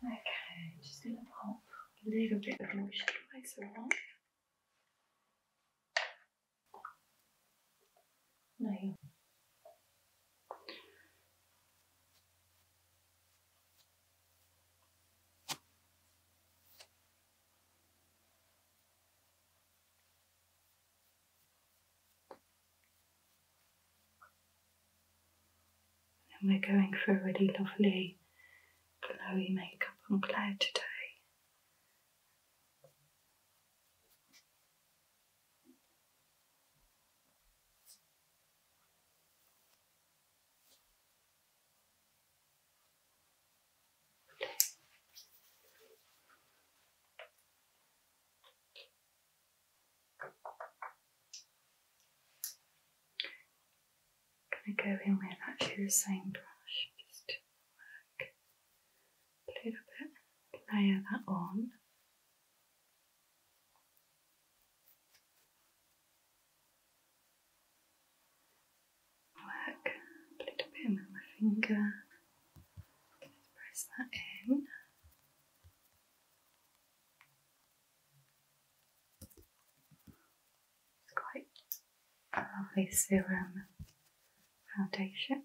Okay, I'm just going to pop a little bit of moisturiser on. No. And we're going for a really lovely glowy makeup on Claire today. Okay. going to go in with actually the same brush, just work a little bit, layer that on. Work a little bit with my finger. press that in. It's quite a lovely serum foundation.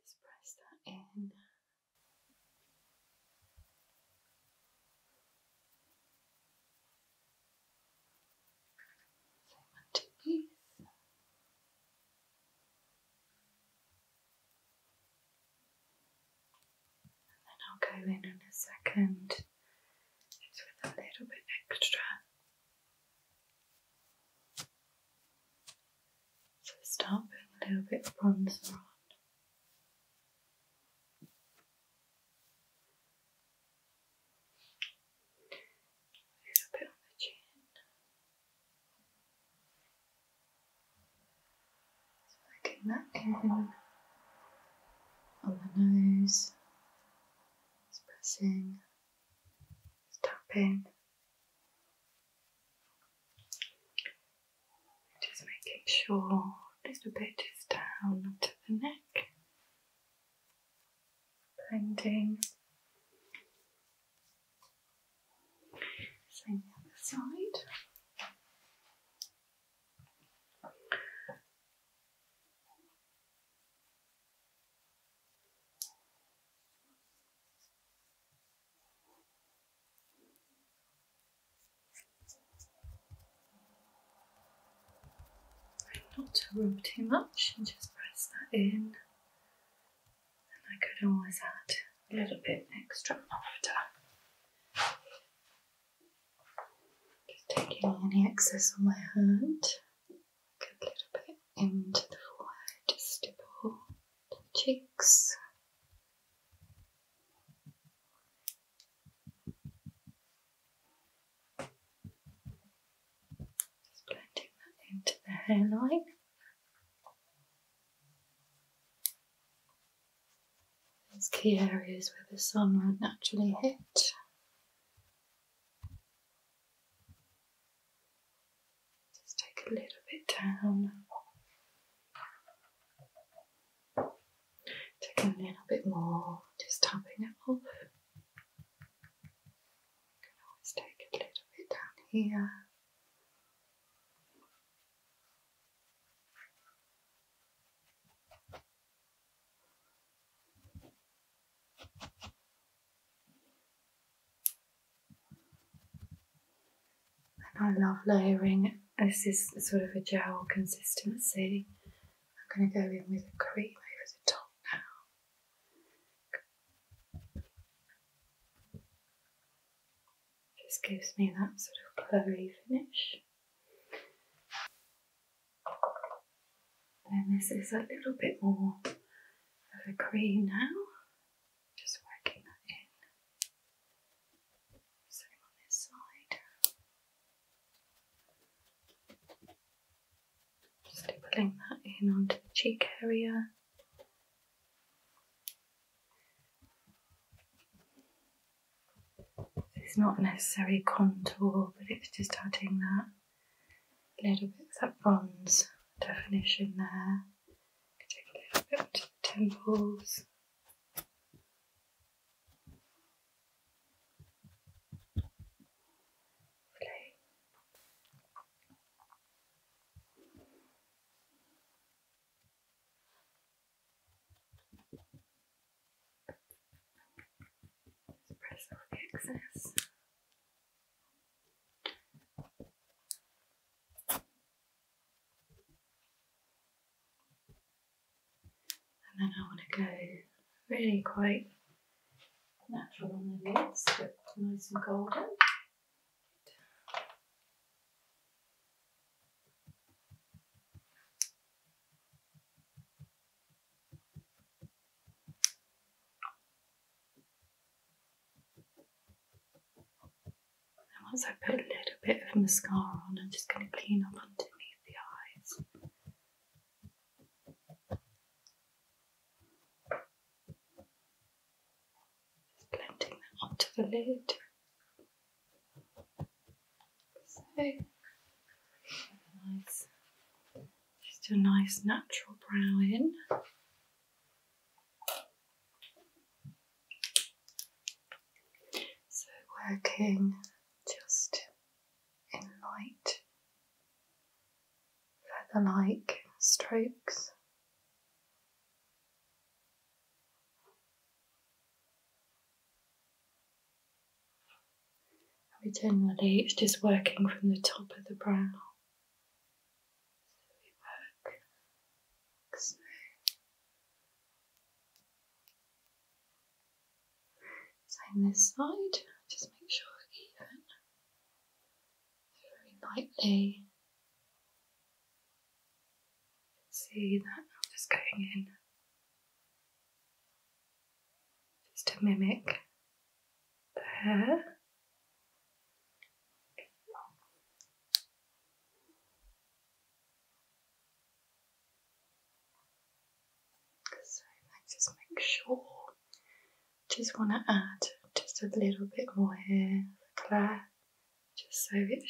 Just press that in. So my And then I'll go in in a second, just with a little bit extra so start putting a little bit of bronzer on. A little bit on the chin. So that in on the nose, it's pressing just tap in. Just making sure this little bit is down to the neck. Blending. Same other side not to rub too much and just press that in. And I could always add a little bit extra after. Just taking any excess on my hand a little bit into the forehead, just above the cheeks. Just blending that into the hairline. Those key areas where the sun would naturally hit. Just take a little bit down. Take a little bit more, just tapping it off. can always take a little bit down here. I love layering. This is sort of a gel consistency. I'm going to go in with a cream over the top now. Just gives me that sort of glowy finish. Then this is a little bit more of a green now. Just working that in. Same on this side. Just pulling that in onto the cheek area. It's not necessarily contour, but it's just adding that little bit of that bronze definition there. Take a little bit to the temples. Espresso excess. And then I want to go really quite natural on the lids, but nice and golden. And once I put a little bit of mascara on, I'm just going to clean up underneath the eyes. blending that onto the lid. So nice, just a nice natural brow in. So working just in light, feather-like strokes. We generally, it's just working from the top of the brow. So we work like Same side, just make sure even. Very lightly. See that, I'm just going in just to mimic the hair. So let just make sure. Just want to add just a little bit more hair, Claire, just so it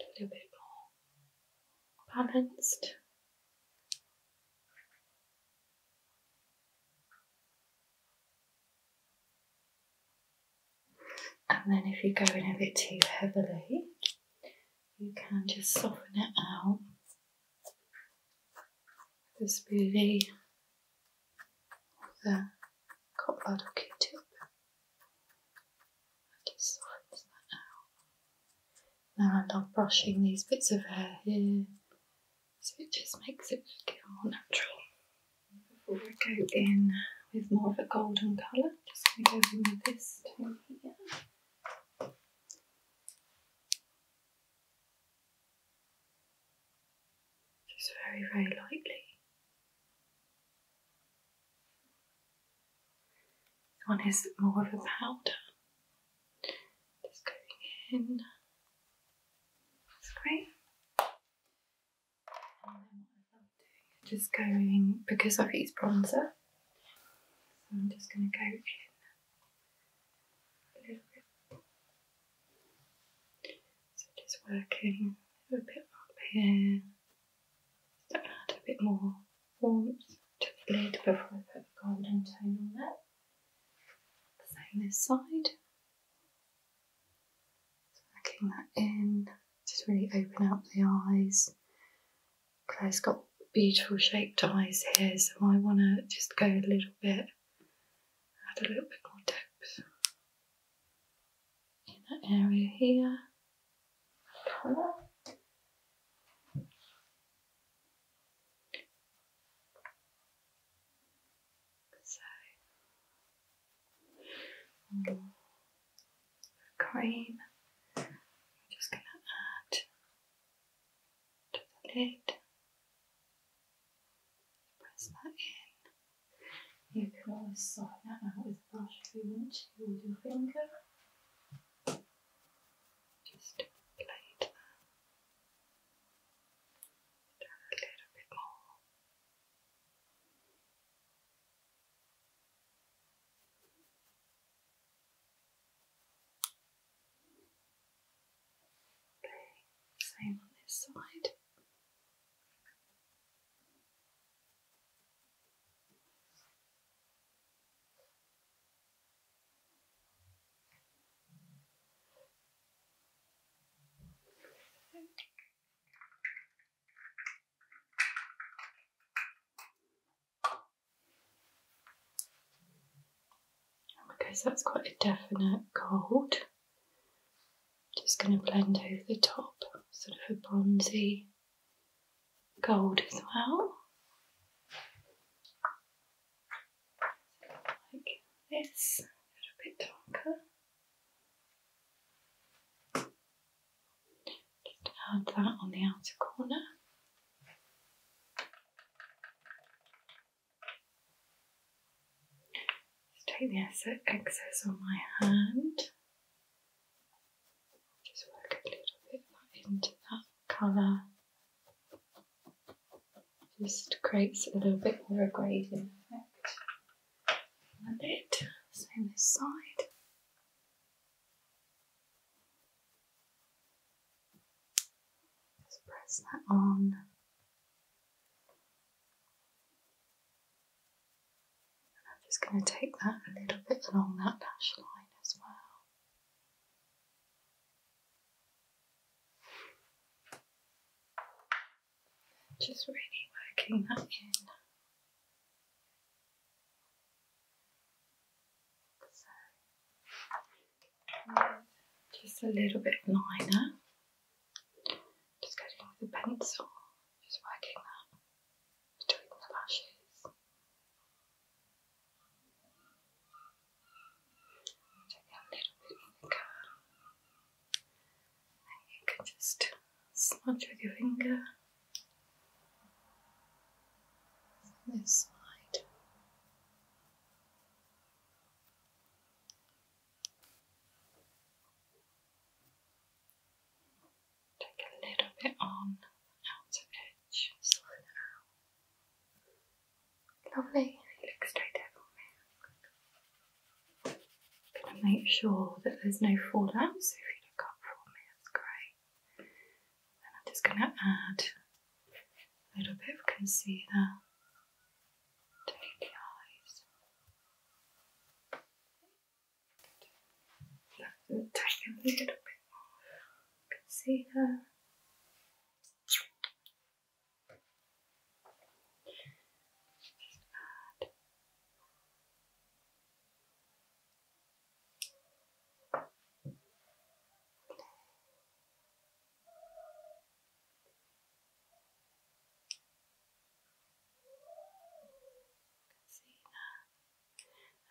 a little bit more balanced. And then if you go in a bit too heavily, you can just soften it out with a the cotton bud or q-tip. I just swatch that out. Now I'm brushing these bits of hair here, so it just makes it look more natural. Before I go in with more of a golden colour, just going to go in with this tone here. Just very, very lightly. This one is more of a powder. Just going in. That's great. just going because I've used bronzer. So I'm just gonna go in a little bit. So just working a bit up here, so add a bit more warmth to the lid before I put the golden tone on there. Same this side. Working that in, just really open up the eyes. Claire's got beautiful shaped eyes here, so I want to just go a little bit, add a little bit more depth in that area here, color. So mm, green, I'm just going to add to the lid press that in. You can always sort it out with a brush if you want to, with your finger. Just plate that. Down a little bit more. same on this side. Because that's quite a definite cold. Just going to blend over the top, sort of a bronzy gold as well. Like this, a little bit darker. Just add that on the outer corner. Just take the excess on my hand. Just work a little bit into that colour. Just creates a little bit more of a gradient effect on the Same this side. Just press that on. I'm just going to take that a little bit along that lash line as well. Just really working that in. just a little bit liner. Just getting a pencil, just working that between the lashes. Take a little bit of And you can just smudge with your finger. This side. Take a little bit on the outer edge, slide it out. Lovely, it straight out Gonna make sure that there's no fallout, so if you look up for me, that's great. Then I'm just gonna add a little bit of concealer Take the eyes. Let take a little bit more. You See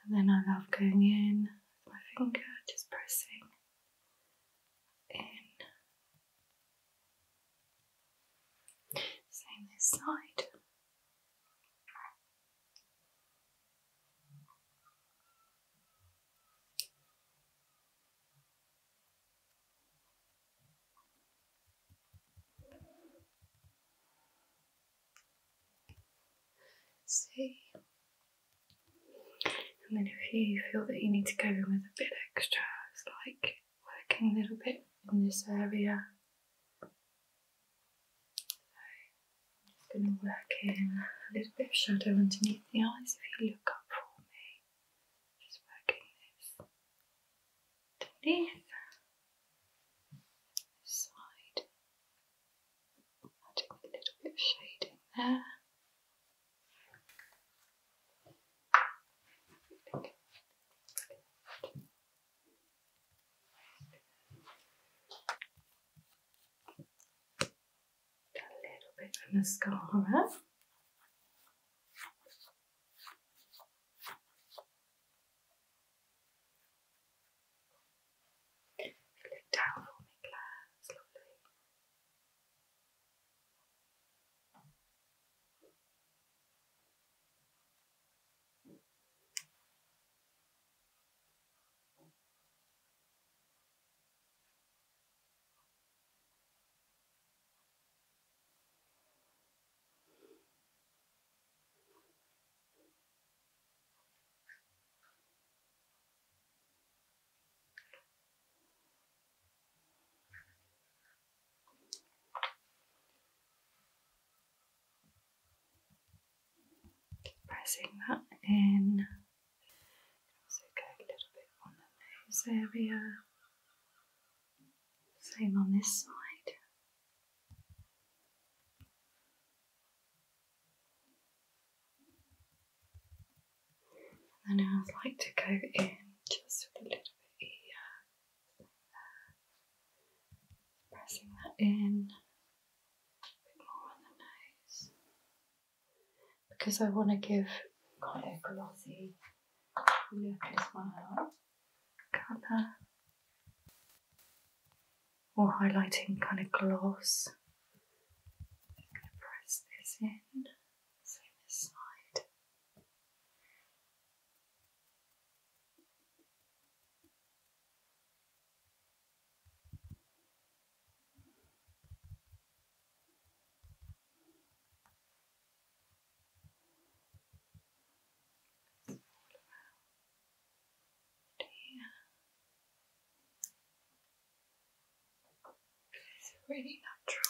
And then I love going in with my finger, just pressing in. Same this side. See? And then if you feel that you need to go in with a bit extra, it's like working a little bit in this area. I'm just going to work in a little bit of shadow underneath the eyes if you look up for me. Just working this underneath, side, adding a little bit of shading there a little bit of mascara. Look down for me, Claire pressing that in also go a little bit on the nose area. Same on this side. And I'd like to go in just with a little bit here. Pressing that in. bit more on the nose because I want to give Kyloglossi look as well. Colour or highlighting kind of gloss. I'm going to press this in, same side. It's all really natural.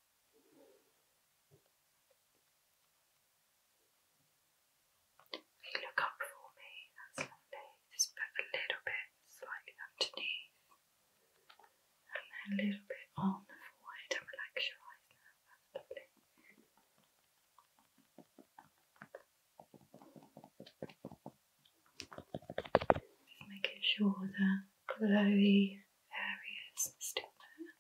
you look up for me, that's lovely. Just put a little bit slightly underneath and then a little bit on the forehead relax your eyes now. lovely. Just making sure the glowy areas stick. there.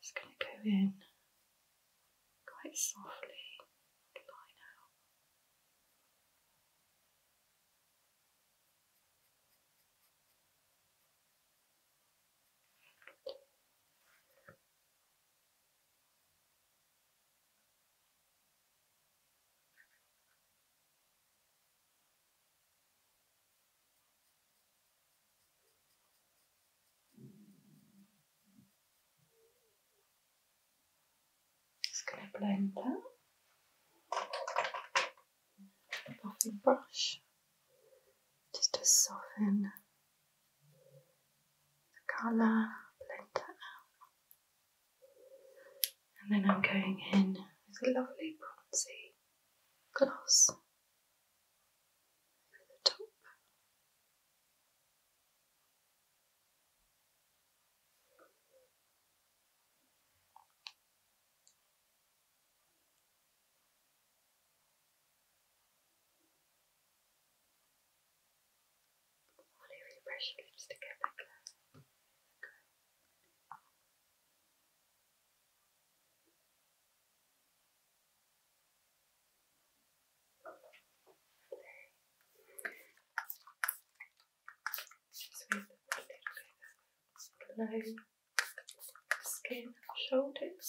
Just going to go in quite softly, line out. Just going to blend that. The buffing brush just to soften the colour, blend that out. And then I'm going in with a lovely bronzy gloss over the top. On a refresh lipstick applicator. Good. Sweep the low skin, shoulders.